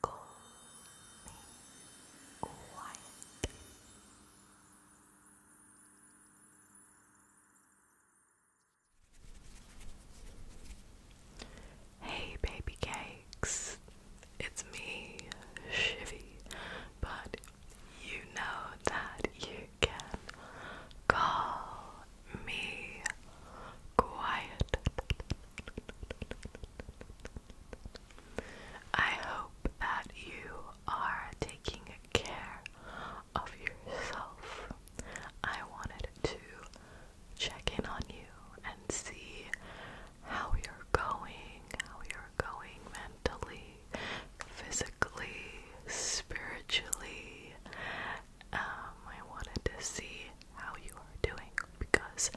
Call me quiet. Hey, baby cakes, it's me, Shivy, but you know that you can call me quiet. I hope that you are taking care of yourself. I wanted to check in on you and see how you're going, how you're going mentally, physically, spiritually, um, I wanted to see how you are doing because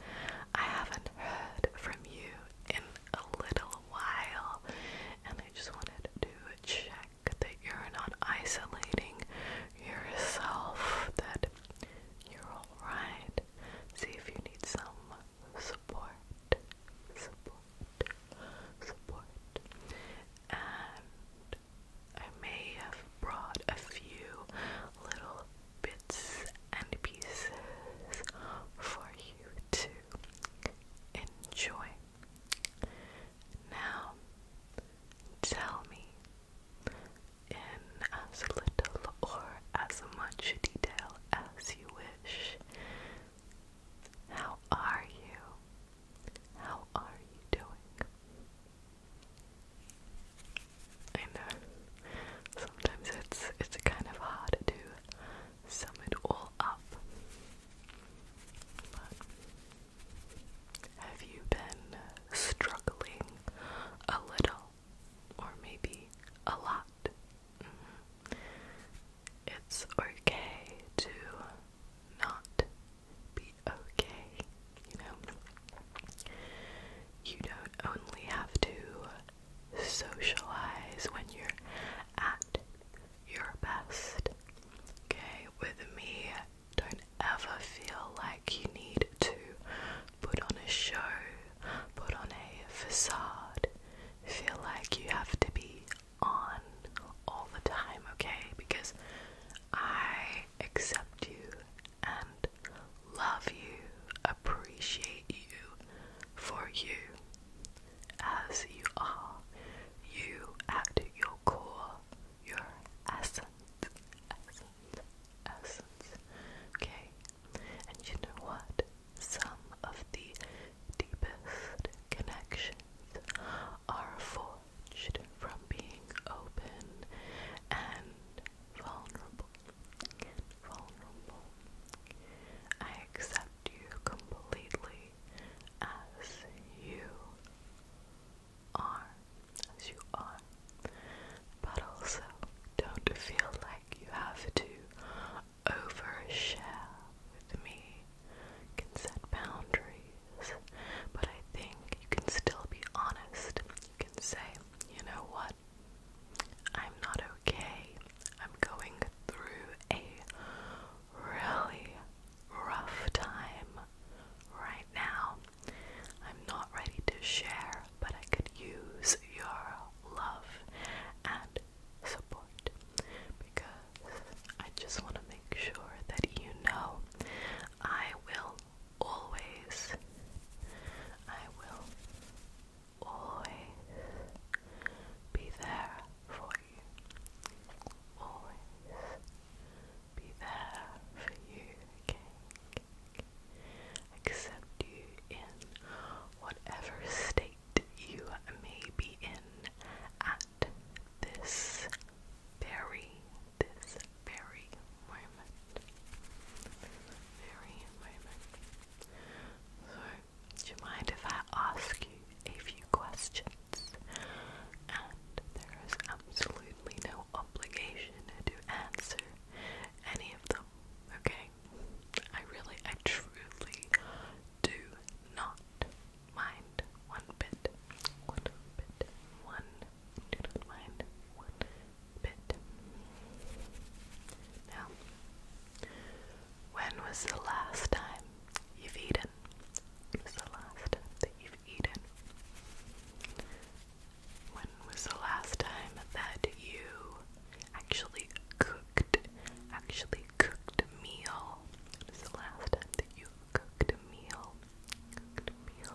I haven't heard from you in a little while, and I just wanted to check that you're not isolating yourself, that you're alright. See if you need some support, support, support, and I may have brought a few little bits and pieces for you to enjoy. Now, tell me in as little or as much detail as you wish. How are you? How are you doing? I know. Sometimes it's it's kind of hard to sum it all up. have you been struggling a little or maybe a lot? Mm-hmm. It's okay to not be okay, you know? You don't only have to socialize when you're at your best, okay? With me, don't ever feel like you need to put on a show, put on a facade, feel like you have to be on all the time, okay? Because I accept you, and love you, appreciate you for you as you are, you at your core, your essence, essence, essence. Okay, and you know what? Some of the deepest connections are forged from being open and vulnerable, vulnerable. I accept you completely as you are, as you are, but also don't feel like you have to overshare with me. can set boundaries, but I think you can still be honest you can say, you know what? I'm not okay. I'm going through a really rough time right now. I'm not ready to share, but I could use your love and support because I just want to make sure that you know I will always, I will always be there for you. Always be there for you, Accept you in whatever state you may be in at this very this very moment. Very moment. So, do you mind if I ask you a few questions? And there is absolutely no obligation to answer any of them, okay? I really, I truly do not mind one bit. One bit. One. Do not mind. One bit. Now, when was the last time you've eaten? When was the last time that you've eaten? When was the last time that you actually cooked? Actually cooked a meal? When was the last time that you cooked a meal? Cooked a meal.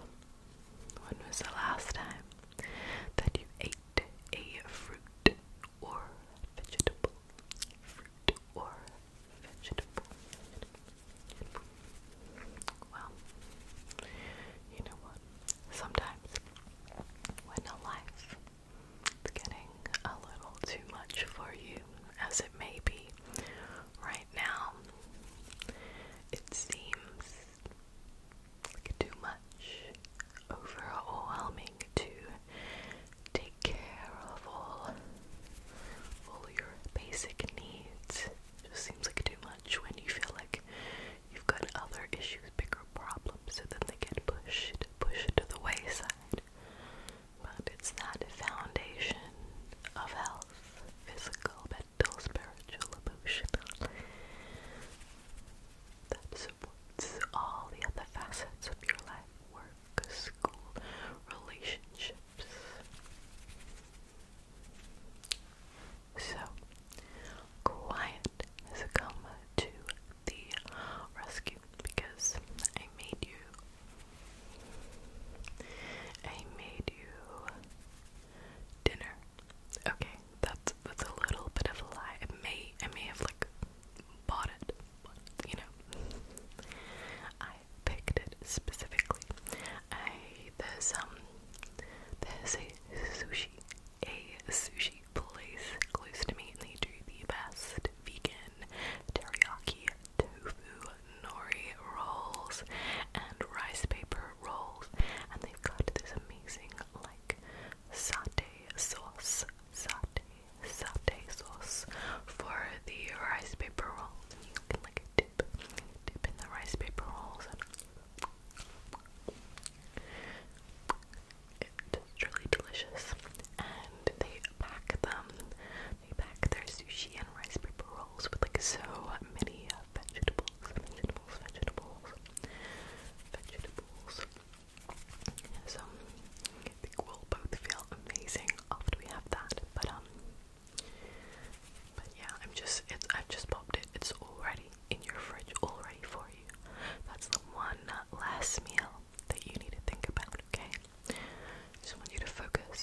When was the last time that you ate a fruit or vegetable? Fruit or vegetable? Well, you know what? Sometimes when a life is getting a little too much for you, as it may be right now, it seems too much, overwhelming to take care of all all your basic needs. just seems like too much when you feel like you've got other issues, bigger problems, so then they get pushed, pushed to the wayside. But it's that foundation of health, physical but mental, spiritual, emotional that supports all the other facets of your life work, school, relationships. So, quiet has come to the rescue because I made you. I made you dinner Okay, that's that's a little bit of a lie. It may I may have like bought it, you know. I picked it specifically. I there's um there's a sushi a sushi place close to me they do the best vegan teriyaki tofu nori rolls and rice paper rolls, and they've got this amazing like satay sauce, satay, satay sauce for the rice paper rolls. You can like dip, dip in the rice paper rolls, it's really delicious. And they pack them, they pack their sushi and rice paper rolls with like so many have vegetables, vegetables, vegetables, vegetables. So I think we'll both feel amazing after we have that. But um, but yeah, I'm just it's I've just popped it. It's already in your fridge, already for you. That's the one last meal that you need to think about. Okay, just want you to focus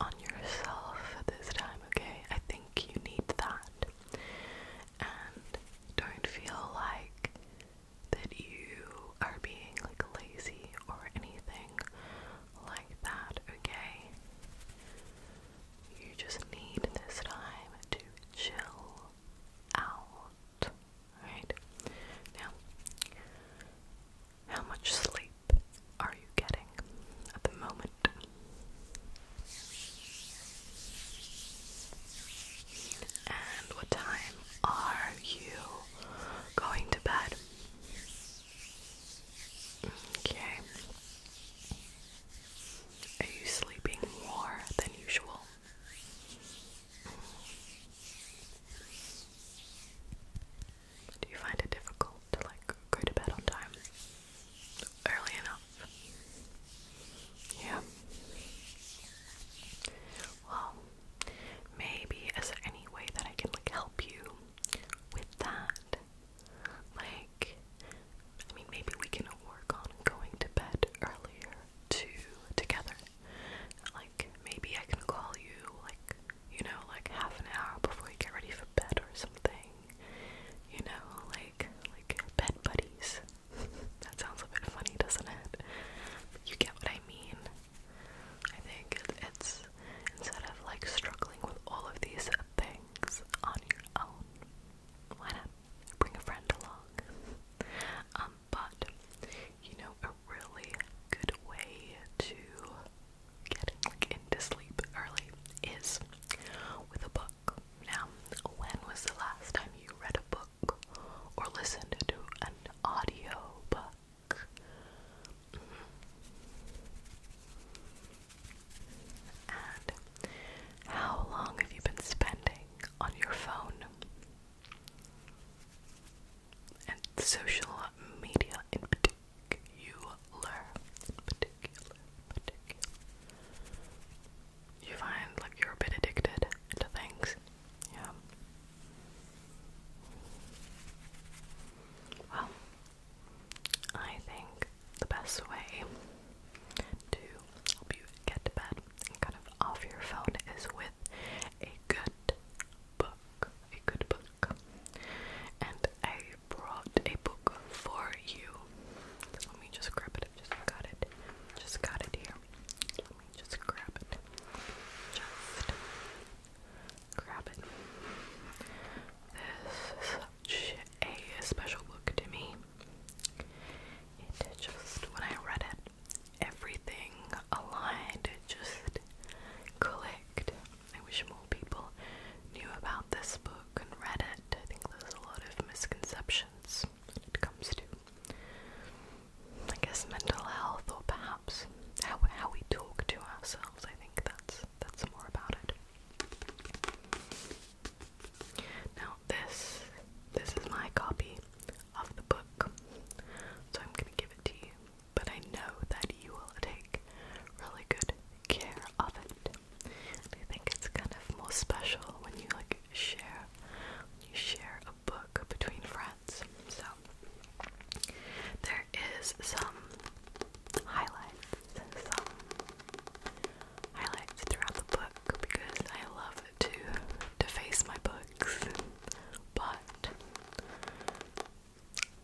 on yourself at this time. Okay, I think you need that that. And don't feel like that you are being like lazy or anything like that, okay? You just need this time to chill out, right? Now, how much sleep are you getting? At the moment, and what time are you going to bed? Okay. Are you sleeping more than usual? Do you find it difficult to like go to bed on time? early enough. Yeah. Well, maybe is there any way that I can like help you with that? Like, I mean, maybe we can work on going to bed earlier to together. Like, maybe I can call you like you know, like half an hour before you get ready for bed or something you know, like like bed buddies. that sounds a bit funny, doesn't it? But you get what I mean. I think it's instead of like struggling with all of these things on your own, why not bring a friend along? Um, but you know, a really good way to getting like into sleep early is with a book. Now, when was the last time you read a book or listened to an audio book? Mm -hmm. And how long have you been spending on your phone? and social media in particular particular, particular, You find like you're a bit addicted to things. Yeah. Well, I think the best way to help you get to bed and kind of off your phone is with a good book. A good book. And I brought a book for you. Let me just grab it. just got it. Just got it here. Let me just grab it. Just grab it. This is such a special book to me. It just, when I read it, everything aligned. It just clicked. I wish more people knew about this book and read it. I think there's a lot of misconceptions when it comes to, I guess, mental health or perhaps how how we talk to ourselves. I think that's that's more about it. Now this this is my copy of the book, so I'm gonna give it to you. But I know that you will take really good care of it. I think it's kind of more special when you like share you share a book between friends. So there is some highlights, some highlights throughout the book because I love to deface my books, but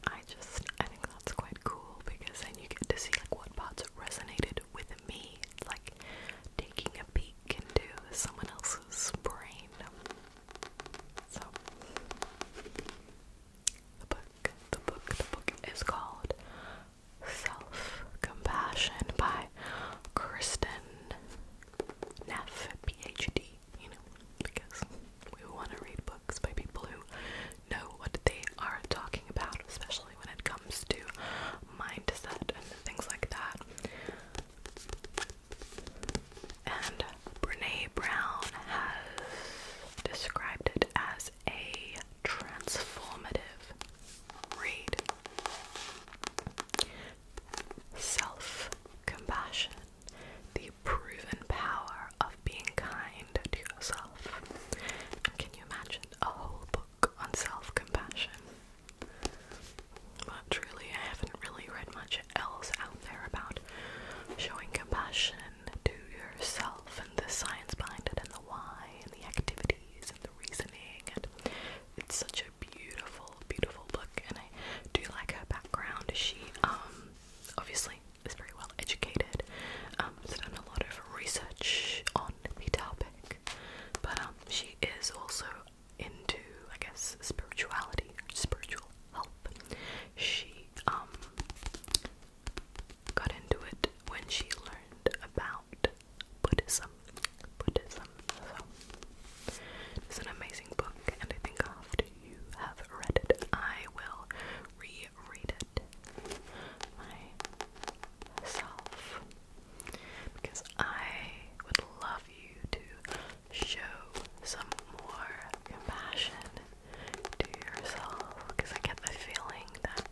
I just I think that's quite cool because then you get to see like what parts resonated with me, like taking a peek into someone else's brain. So, the book, the book, the book is called Self Compassion by Kirsten Neff, PhD, you know, because we want to read books by people who know what they are talking about, especially when it comes to mindset and things like that. And Brene Brown has described it as a transformative read. Self compassion, the proven power of being kind to yourself. can you imagine a whole book on self compassion? But truly, I haven't really read much else out there about showing compassion to yourself and the science behind it and the why and the activities and the reasoning. it's such a beautiful, beautiful book, and I do like her background. She, um, obviously is very well educated, She's um, done a lot of research on the topic, but um, she is also into, I guess, spirituality, spiritual help. She um, got into it when she learned about Buddhism. Buddhism. it's an amazing book, and I think after you have read it, I will reread it myself because I would love you to show some more compassion to yourself because I get the feeling that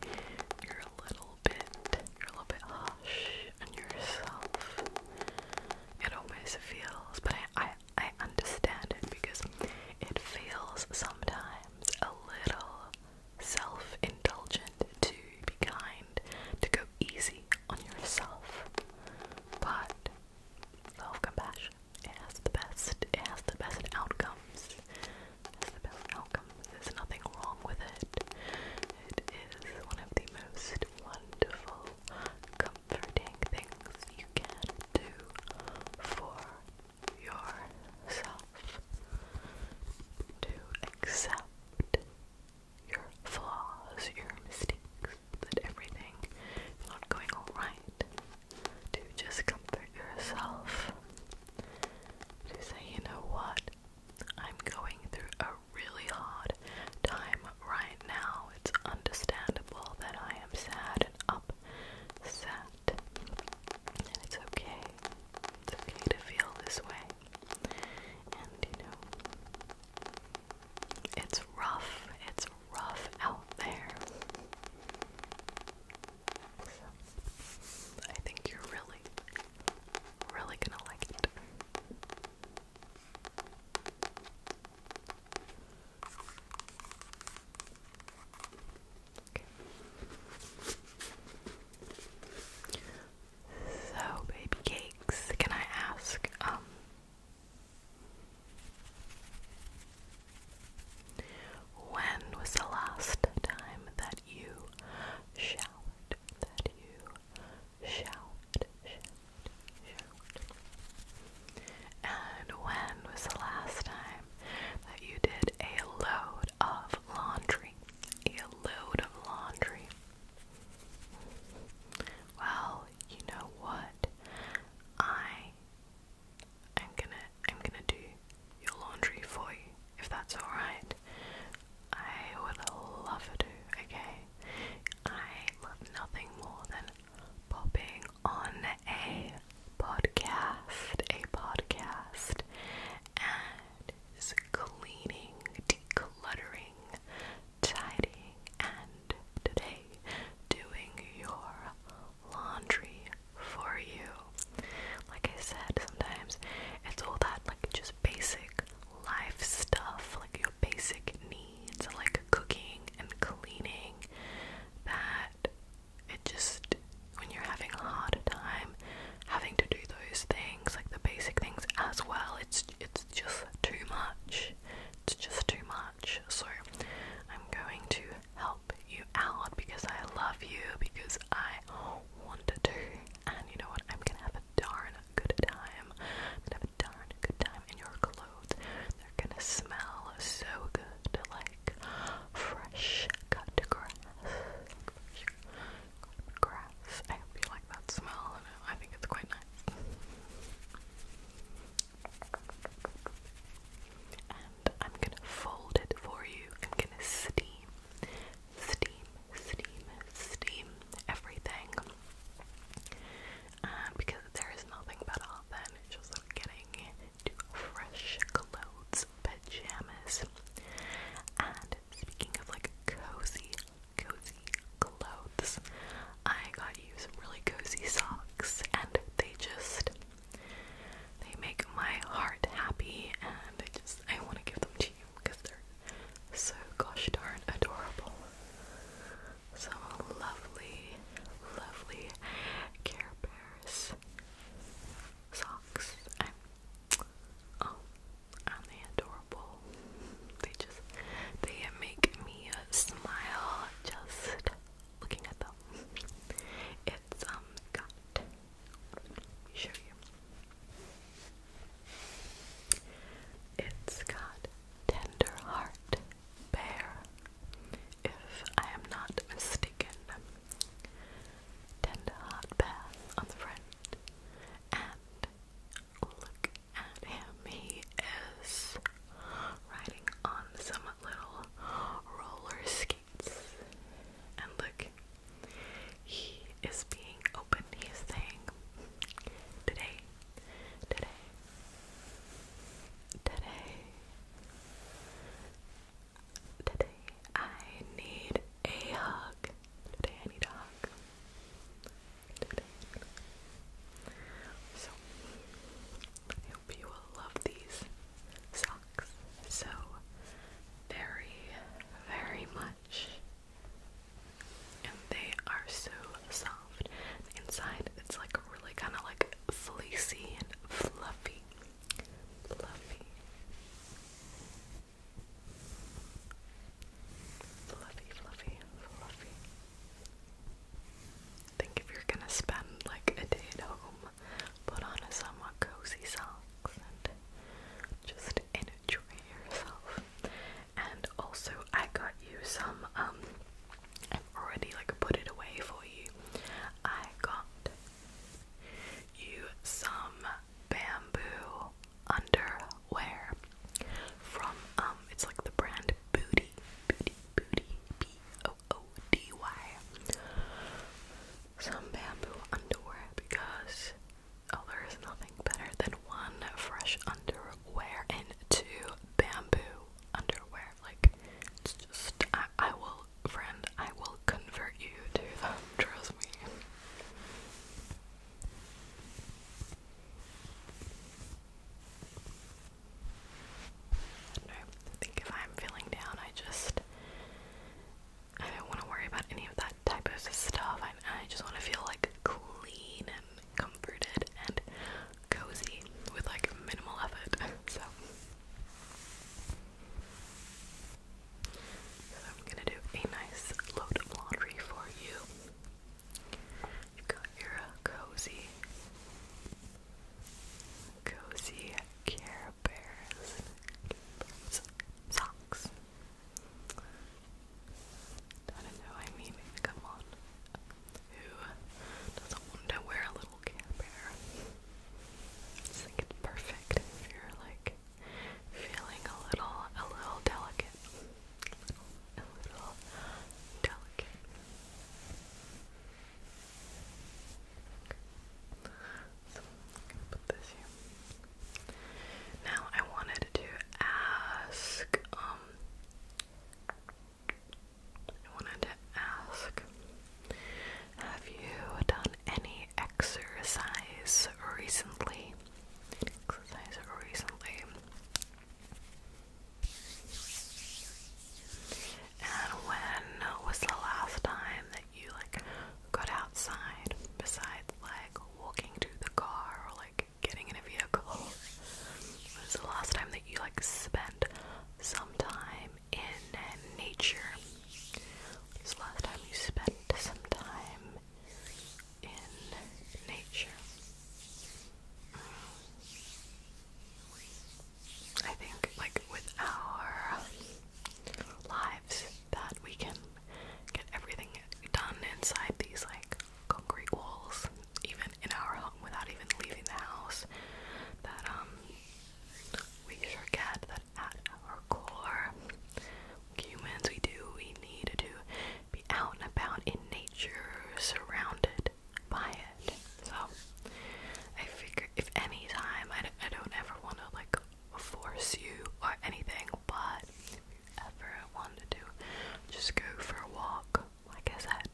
you're a little bit you're a little bit hush on yourself. It always feels but I I, I understand it because it feels sometimes sometimes a little self indulgent to be kind, to go easy on yourself. But self compassion, has the best, it has the best outcomes. It has the best outcomes. There's nothing wrong with it. It is one of the most wonderful, comforting things you can do for yourself to accept your flaws, your mistakes, that everything is not going alright, to just comfort yourself, to say, you know what, I'm going through a really hard time right now. It's understandable that I am sad and upset. it's okay. It's okay to feel this way. And you know, it's rough. It's rough out there. I think you're really, really gonna like it. So, baby cakes, can I ask, um, when was the last time that you showered? That you showered. And when was the last time that you did a load of laundry. A load of laundry. Well, you know what? I am gonna am gonna do your laundry for you, if that's alright. I would love to, okay? I love nothing more than popping on a podcast, a podcast, and is cleaning, decluttering, tidying, and today doing your laundry for you. Like I said, sometimes it's all that like just basic life stuff, like your basic needs, like cooking and cleaning, that it just when you're having a hard time having to do those things like the basic things as well it's it's just too much it's just too much so i'm going to help you out because i love you because i want to do. and you know what i'm gonna have a darn good time gonna have a darn good time in your clothes they're gonna smell so good like fresh cut grass. grass. I hope you like that smell. I think it's quite nice. And I'm gonna fold it for you. I'm gonna steam, steam, steam, steam everything. Uh, because there is nothing better than just getting fresh clothes, pajamas. And speaking of like cozy, cozy clothes, I got you some really cozy socks and they just they make my heart happy and I just I want to give them to you because they're so gosh darn adorable. Some lovely, lovely Care Bears socks. I'm, oh, are adorable? They just, they make me uh, smile just looking at them. It's, um, got, It's got Tender Heart Bear if I am not mistaken. Tend a hot bath on the front, and look at him. He is riding on some little roller skates, and look, he is being open. He is saying, "Today, today, today." Today I need a hug. Today I need a hug. So I hope you will love these socks so very, very much. And they are so soft. inside it's like really kind of like fleecy and fluffy fluffy, fluffy, fluffy, fluffy. I think if you're gonna spend like a day at home, put on a somewhat cozy socks and just enjoy yourself. And also, I got you some. Um, I've already like put it away for you. I got you some bamboo underwear from um it's like the brand Booty Booty Booty B O O D Y some bamboo underwear because oh there is nothing better than one fresh underwear and two bamboo underwear like it's just I will friend, I will convert you to them, trust me. I think if I'm feeling down, I just I don't want to worry about any of that type of stuff. I just want to feel like clean and comforted and cozy with like minimal effort. So I'm gonna do a nice load of laundry for you. You've got your uh, cozy, cozy Care Bears socks. I don't know, I mean, come on. Who doesn't want to wear a little Care I it's perfect if you're like feeling a little, a little delicate, a little, delicate. Now I wanted to ask, um, I wanted to ask Have you done any exercise recently? Exercise recently. And when was the last time that you like got outside besides like walking to the car or like getting in a vehicle? When was the last time that you like spent some time in nature. When the last time you spent some time in nature? I think, like, with our lives, that we can get everything done inside these, like, concrete walls, even in our home, without even leaving the house. That, um, we forget that at our core, humans, we do, we need to be out and about in nature, surrounded by it. So, I figure if any time, I, I don't ever want to like force you or anything, but if you ever wanted to, just go for a walk. Like I said,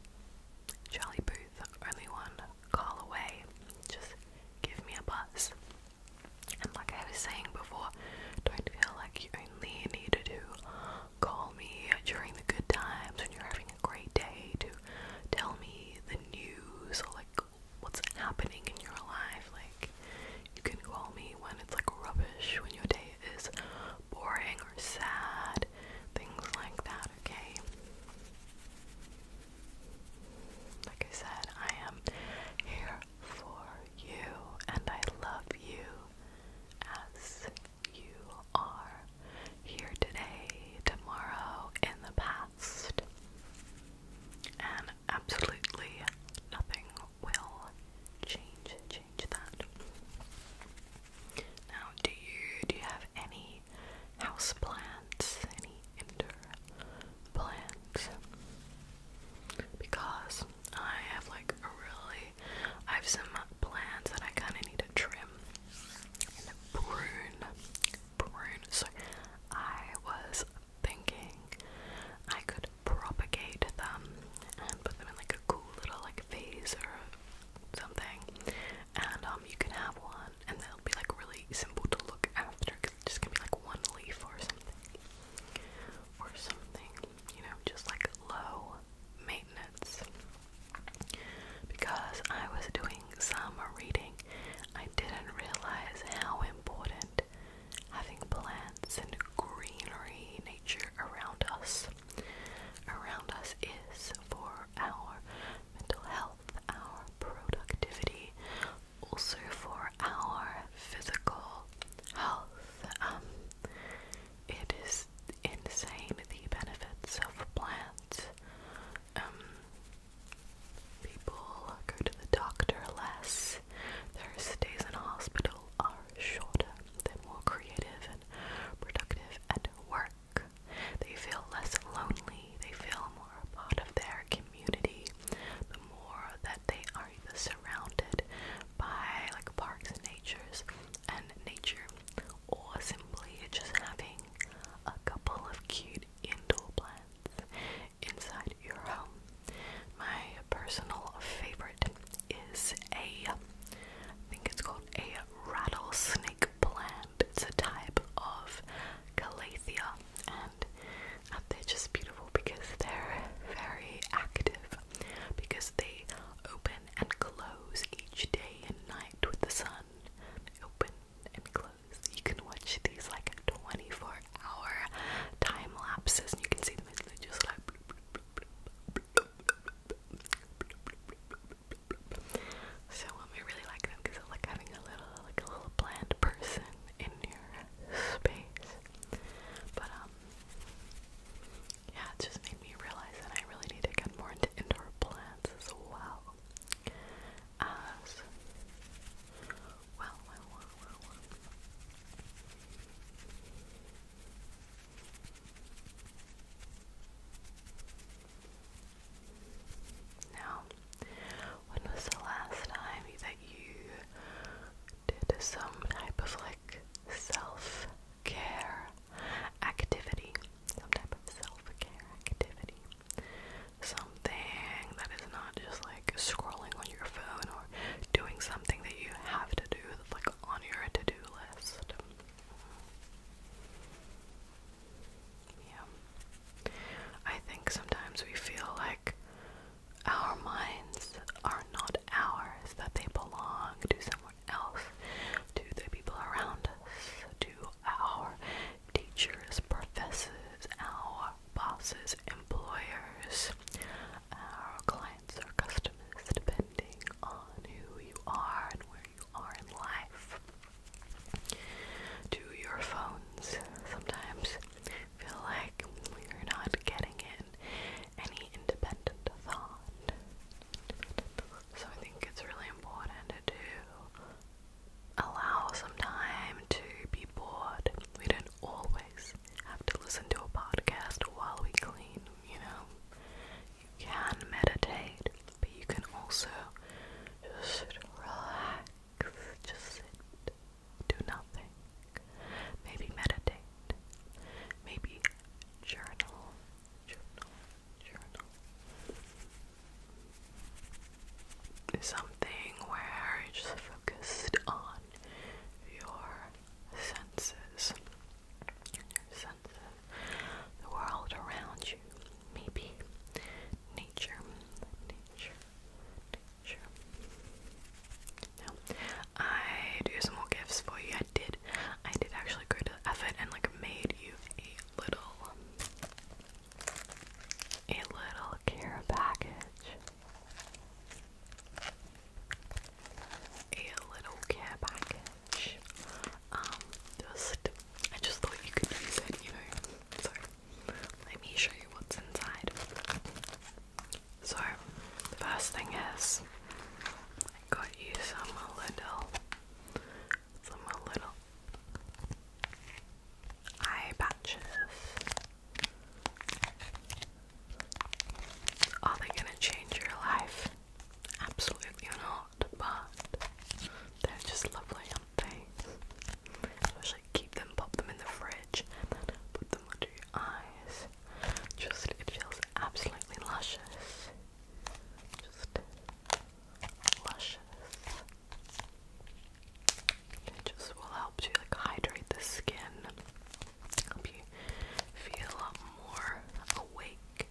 jolly boo booth, only one call away. Just give me a buzz. And like I was saying before, don't feel like you only need to call me during the good times when you're having a great day to tell me the news or like what's happening in your life. Like you can call me when it's like rubbish, when your day is boring or sad, things like that, okay? Like I said, I am here for you and I love you as you are here today, tomorrow, in the past. And absolutely nothing will change change that. Now do you do you have any house plants, any indoor plants, because I have like really, I have some plants that I kind of need to trim and prune, prune. So I was thinking I could propagate them and put them in like a cool little like vase or something and um you can have one and they'll be like really simple to look after cause just gonna be like one leaf or something or something you know just like low maintenance because I was doing some reading I didn't realize how important having plants and greenery nature around us around us is for our mental health health, our productivity, also for our physical health. Um, it is insane the benefits of plants. Um, people go to the doctor less, their stays in hospital are shorter, they're more creative and productive and work they feel less lonely. They feel more part of their community. The more that they are surrounded by like parks and natures and nature, or simply just having a couple of cute indoor plants inside your home. My personal favorite is a, I think it's called a rattlesnake plant. It's a type of calathea, and they're just beautiful because they're very active because they open and close each day and night with the sun. Open and close. You can watch these like 24 hour time lapses, and you can see them as they just like. So um, I really like them because I like having a little, like a little bland person in your space. But um, yeah, it just made me realize that I really need to get more into indoor plants as well. As well, well, well, well, well. Now, when was the last time that you did some type of like self care activity? Some type of self care activity. Something that is not just like scrolling on your phone or doing something that you have to do, that's like on your to do list. Yeah. I think sometimes we feel like our minds are not ours, that they belong to someone else, to the people around us, to our teachers, professors, our bosses, employers, our clients our customers, depending on who you are and where you are in life. Do your phones sometimes feel like you're not getting in any independent thought? So I think it's really important to allow some time to be bored. We don't always have to listen to a podcast while we clean, you know? You can meditate but you can also just relax, just sit, do nothing, maybe meditate, maybe journal, journal, journal. Something where you just focus on your senses, senses, the world around you, maybe nature, nature, nature. No, I do some more gifts for you. I did, I did actually go to the effort and like made you a little, a little care package. A little care package um, just I just thought you could use it, you know. So let me show you what's inside. So the first thing is I got you some little some little eye patches. Are they gonna change your life? Absolutely not but they're just lovely on face. keep them, pop them in the fridge, put them under your eyes. Just it feels absolutely luscious. Just luscious. It just will help to like hydrate the skin, help you feel a lot more awake,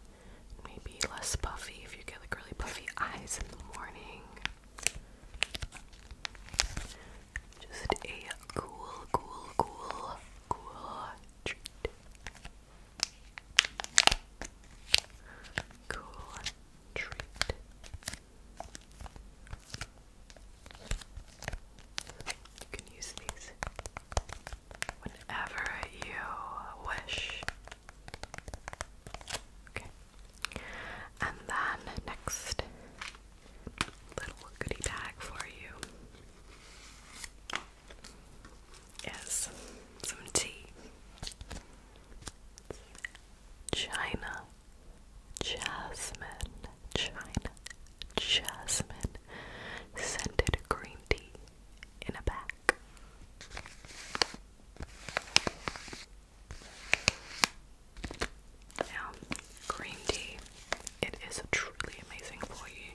maybe less puffy if you get like really puffy eyes in the morning. Just a cool, cool, cool, cool treat. Cool treat. You can use these whenever you wish. Okay. And then next little goodie bag for you is some tea. China jasmine, China jasmine scented green tea in a bag. Now, green tea. It is truly amazing for you,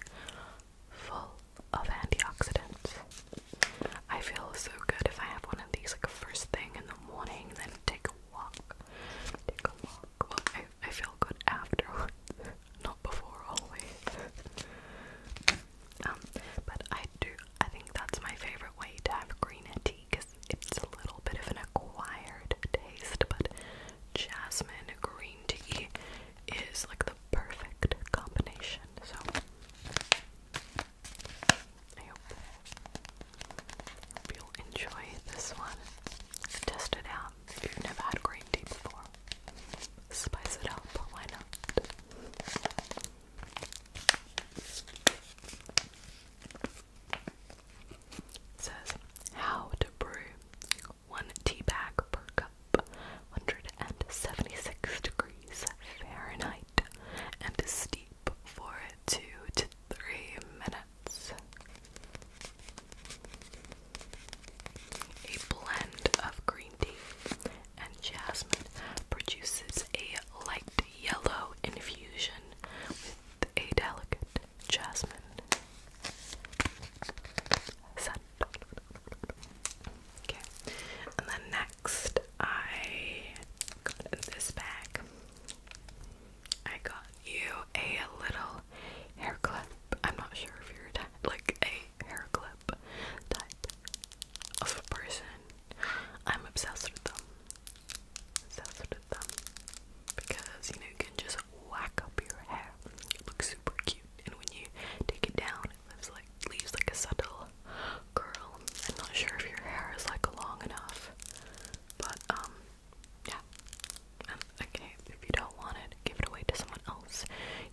full of antioxidants. I feel so good if I have one of these like first thing in the morning, then take a walk. Take a walk. I, feel good after, not before always. Um, but I do, I think that's my favorite way to have green tea because it's a little bit of an acquired taste, but jasmine green tea is like the perfect combination. So I hope, hope you'll enjoy this one. Test it out if you've never had green tea before. Spice it up, why not? says how to brew one tea bag per cup, 176 degrees Fahrenheit, and steep for two to three minutes. A blend of green tea, and jasmine produces a light yellow infusion with a delicate jasmine scent. Okay, and then next I got this bag. I got you a little hair clip. I'm not sure if you're like a hair clip type of person, I'm obsessed with them. Obsessed with them. Because, you know, you can just whack up your hair. It looks super cute. And when you take it down, it leaves like, a subtle curl. I'm not sure if your hair is like long enough. But, um, yeah. okay, if you don't want it, give it away to someone else.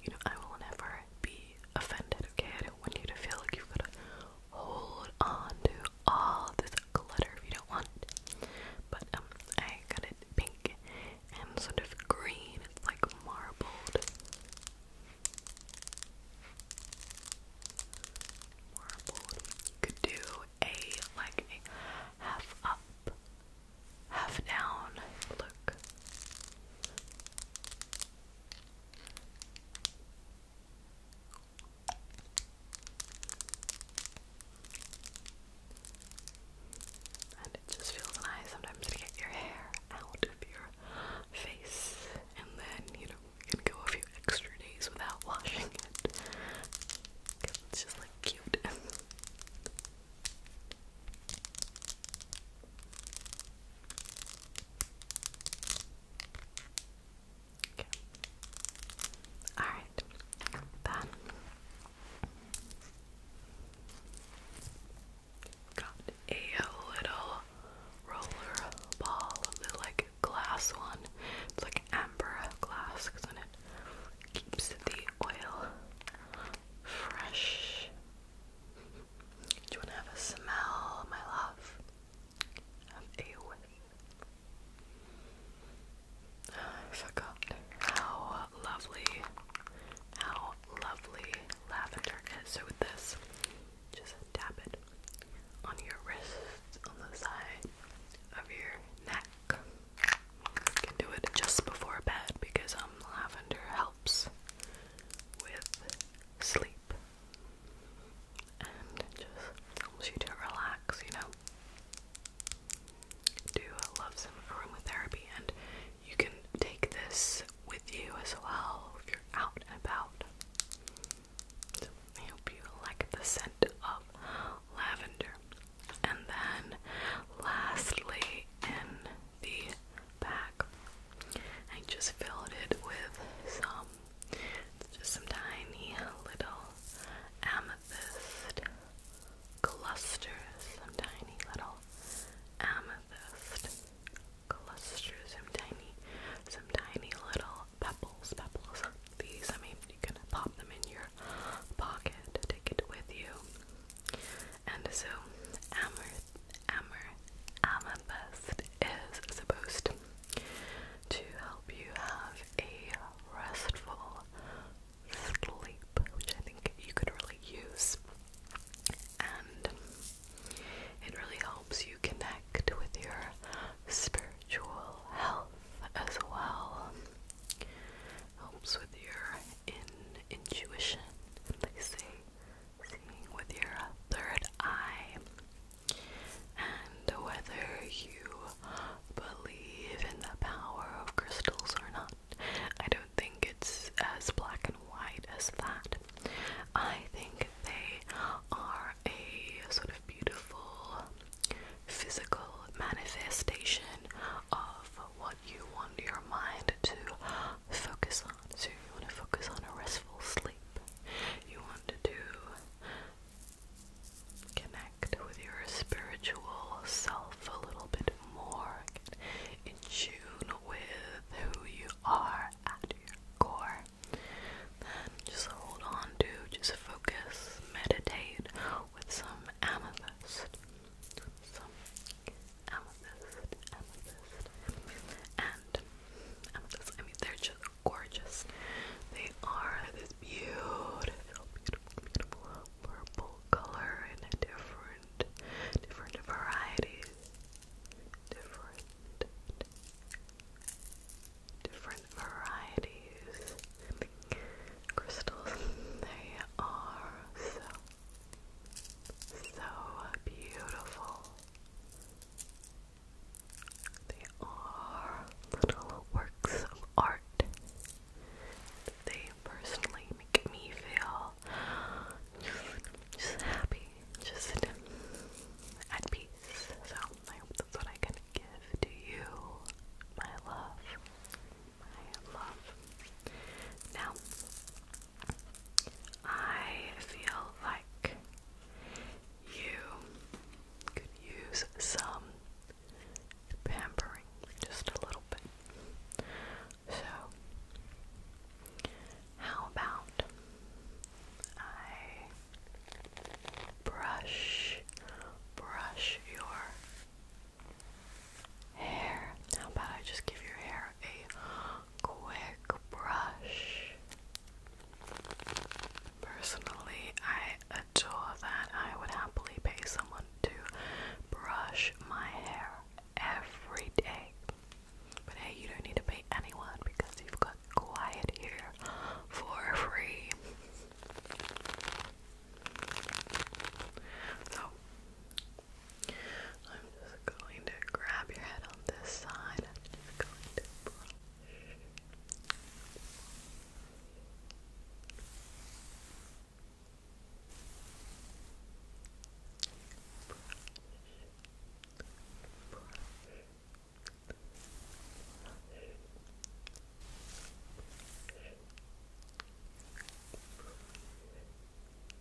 You know, I will never be offended, okay? I don't want you to feel like you've got to hold on to all this glitter if you don't want it. But um, I got it pink and sort of green. It's like marbled. could do a like half up, half down look. And it just feels nice sometimes to get your hair out of your face, and then you know, you can go a few extra days without washing it it's just like cute. Okay. All right. Then got a little roller ball, the like glass one. It's like amber glass because then it keeps the oil fresh. Do you want to have a smell, my love? Have a whiff. forgot how lovely, how lovely lavender is. So with this, just dab it on your wrist, on the side of your neck. You can do it just before bed because um lavender helps with sleep and just helps you to relax, you know. Do love some aromatherapy, and you can take this with you as well if you're out and about. I hope you like the scent of lavender. And then, lastly, in the bag I just filled it with some, just some tiny little amethyst clusters, some tiny little amethyst clusters, some tiny, some tiny little pebbles, pebbles. These, I mean, you can pop them in your pocket, take it with you. And so, amber Amber Amethyst is supposed to help you have a restful sleep, which I think you could really use. And it really helps you connect with your spiritual health as well. Helps with your intuition. They say seeing with your third eye, and whether you believe in the power of crystals or not. I don't think it's as black and white as that. I think they are a sort of beautiful physical manifestation of what you want your mind to focus on. So you want to focus on a restful sleep. You want to do connect with your spiritual self a little bit more. in tune with who you are at your core. Then just hold on to, just focus, meditate with some amethyst. Some amethyst, amethyst. And I mean, they're just gorgeous. They are this beautiful, beautiful, beautiful purple color in different, different varieties, different, different varieties. Crystals. They are so, so beautiful. They are little works of art. They personally make me feel just, happy, just at peace. So that's what I can give to you, my love. My love. Now, I feel like you could use some pampering, just a little bit. So, how about I brush, brush your hair? How about I just give your hair a quick brush. Personally, I adore that. I would happily pay someone to brush my hair every day. But hey, you don't need to pay anyone because you've got quiet here for free. So, I'm just going to grab your head on this side. I'm going to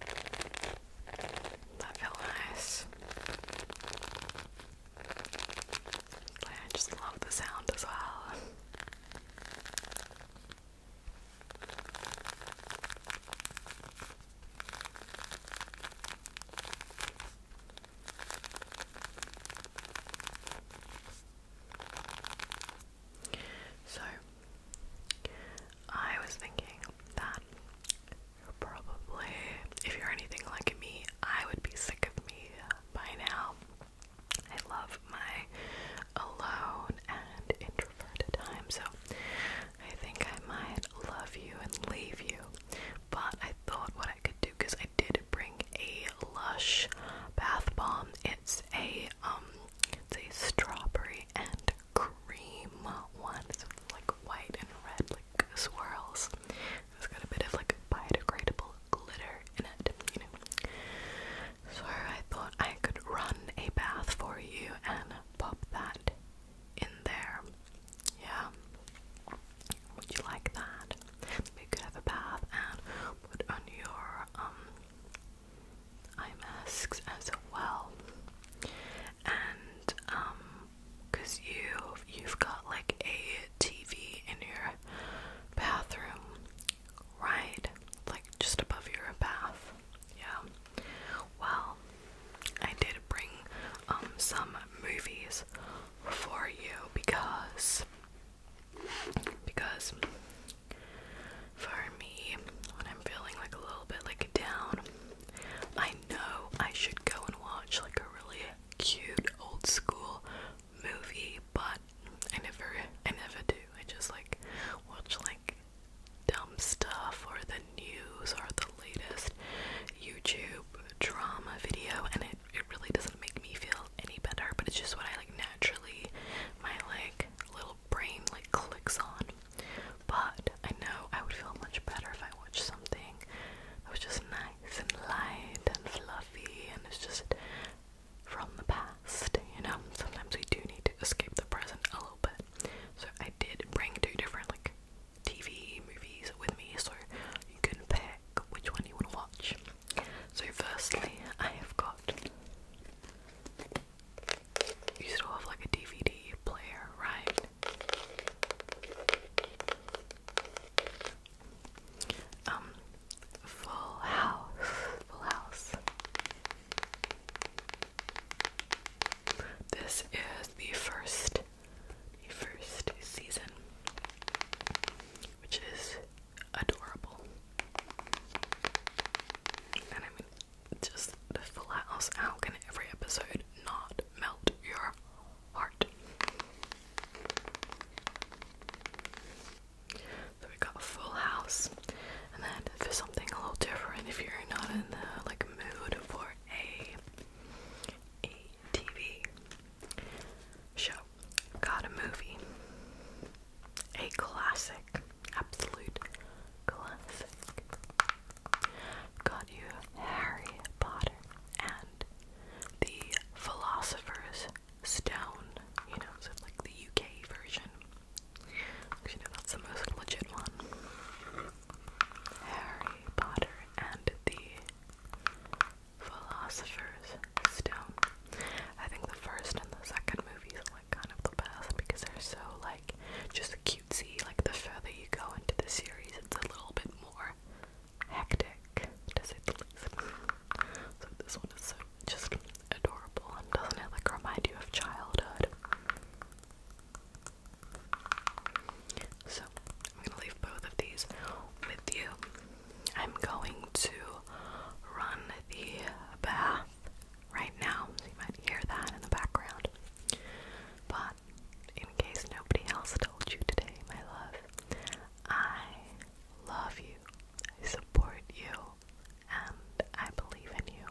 That felt nice. Like, I just love the sound as well. So, I was thinking that Probably. If you're anything like me, I would be sick of me by now. I love my alone and introverted time, so I think I might love you and leave you. But I thought what I could do because I did bring a Lush bath bomb. It's a um, it's a strawberry and cream one. So it's like white and red, like swirls. It's got a bit of like biodegradable glitter in it, So I thought I could run a bath for you and pop that in there. Yeah. Would you like that? We could have a bath and put on your um eye masks as well and um because you you've got like a TV in your bathroom, right? Like just above your bath. Yeah. Well, I did bring um some movies for you because because for me when I'm feeling like a little bit like down I know I should go and watch like a really cute old school movie, but I never I never do. I just like watch like dumb stuff or the news or the latest YouTube drama video and it, it really doesn't make me feel any better, but it's just what I like naturally my like little brain like clicks on. But I know I would feel much better if I watched something that was just nice and light and fluffy and it's just from the past, you know? Sometimes we do need to escape the present a little bit. So I did bring two different, like, TV movies with me so you can pick which one you want to watch. So, firstly, I have got. You still have like a DVD player, right? Um, full House, Full House. This is the first, the first season, which is adorable just Full House. How can every episode not melt your heart? So we got full house, and then for something a little different, if you're not in the like mood for a a TV show, got a movie, a classic, absolute classic. Got you Harry Potter and the Philosopher's Stone. You know, like the UK version. You know, that's the most legit one. Harry Potter and the Philosopher's Stone. I think the first and the second movies are like kind of the best because they're so like like just cutesy. Like the further you go into the series, it's a little bit more hectic, to say So this one is so just adorable, and doesn't it like remind you of childhood? So I'm gonna leave both of these with you. I'm going to run the bath right now, you might hear that in the background. But in case nobody else told you today, my love, I love you, I support you, and I believe in you.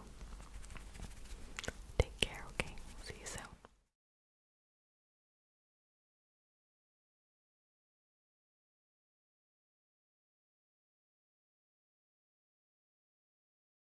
Take care, okay? See you soon.